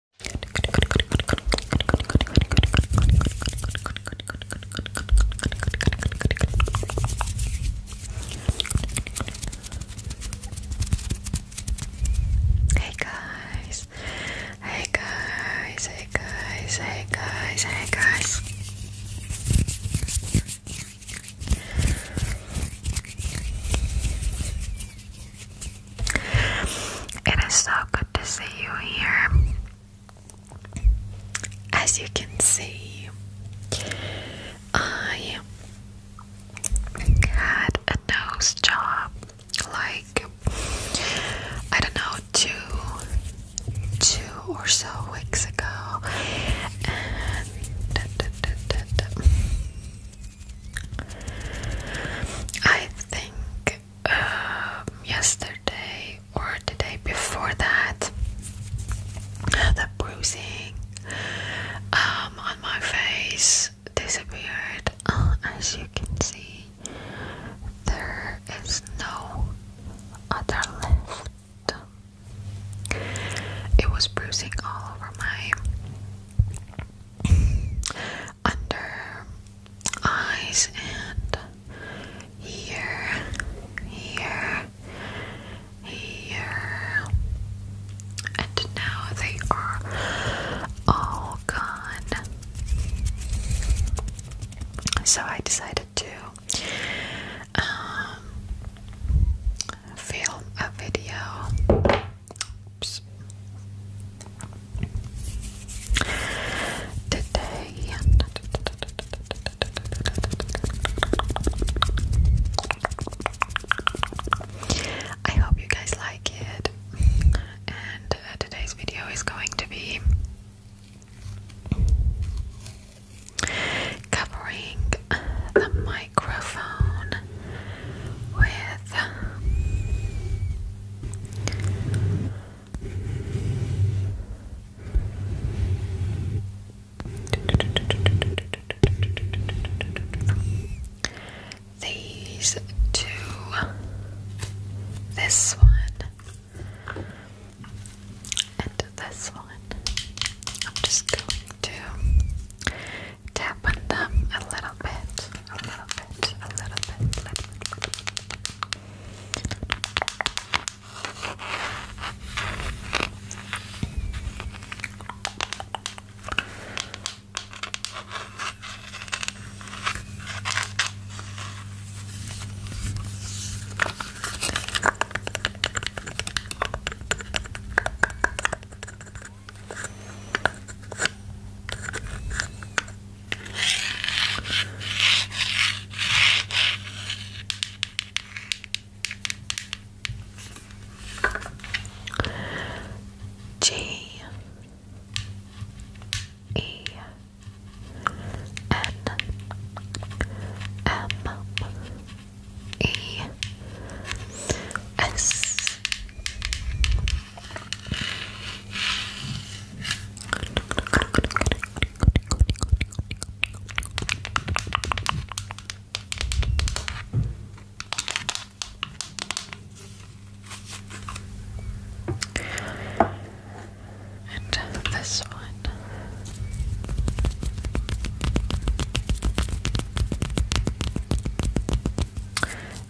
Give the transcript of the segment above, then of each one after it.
Hey guys, hey guys, hey guys, hey guys, hey guys. It is so good to see you here. As you can see, I had a nose job like I don't know two two or so weeks ago I think um, yesterday or the day before that, the bruising um, on my face disappeared. Uh, as you can see, there is no other left. It was bruising all over my under eyes and here, here, here, and now they are all gone. So I decided to um, film a video. Today, I hope you guys like it. And uh, today's video is going to be covering the microphone with these two, this one, and this one. I'm just going to tap on them a little bit, a little bit, a little bit, little little bit. G E N M E S and this one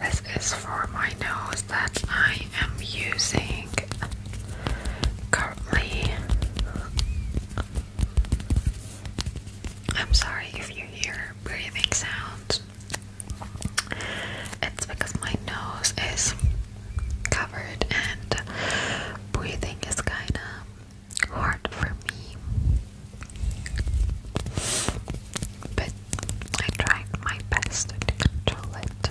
this is for my nose that I am using currently. I'm sorry if you hear breathing sounds. It's because my nose is covered and breathing is kind of hard for me. But I tried my best to control it.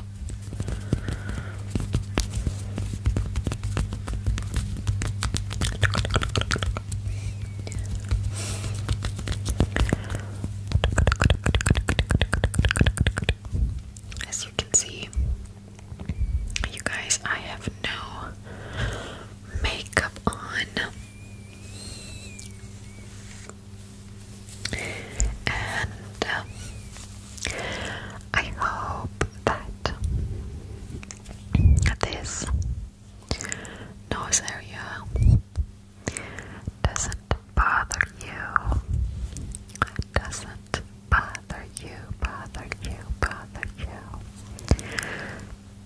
As you can see, you guys, I have no makeup on. And um, I hope that this nose area doesn't bother you, doesn't bother you, bother you, bother you,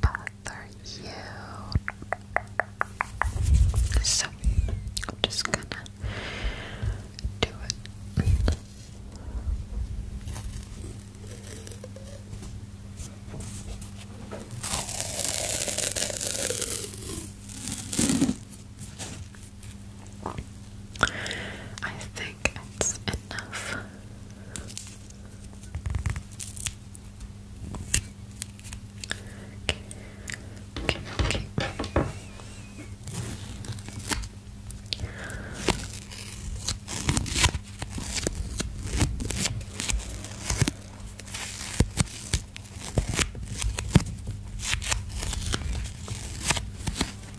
bother you. So I'm just gonna do it. I think it's enough. Okay, okay, okay.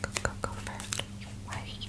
Go, go, go, first. Wait.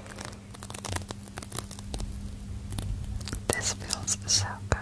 This feels so good.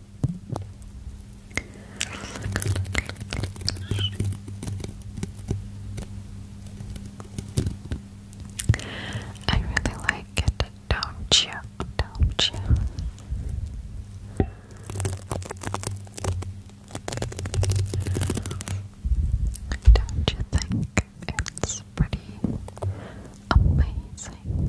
I really like it, don't you? Don't you? Don't you think it's pretty amazing?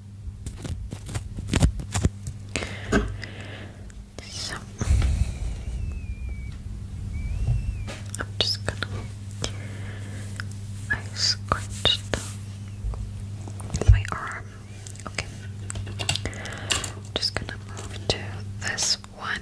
So I'm just gonna I scratched my arm. Okay. just gonna move to this one.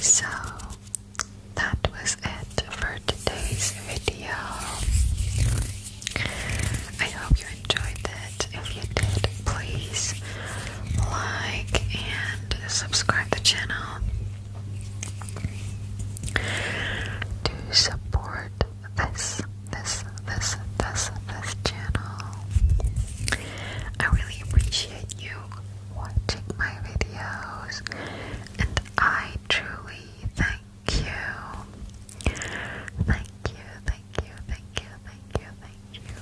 So that was it for today's video. I hope you enjoyed it. If you did, please like and subscribe the channel to support this, this, this, this, this channel. I really appreciate you watching my videos, and I truly thank you. Thank you, thank you, thank you, thank you, thank you.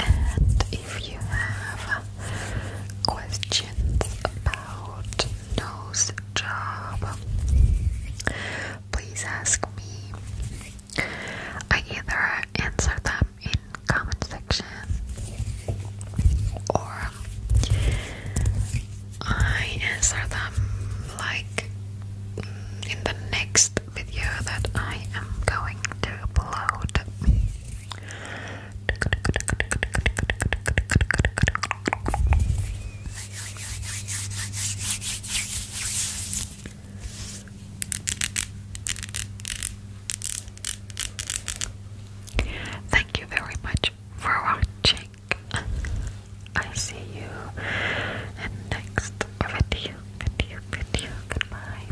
And if you have questions about No's job, please ask me. I either answer them in comment section or I answer them like in the next video that I am going to upload. Thank you very much for watching. I see you in next video, video, video. Goodbye.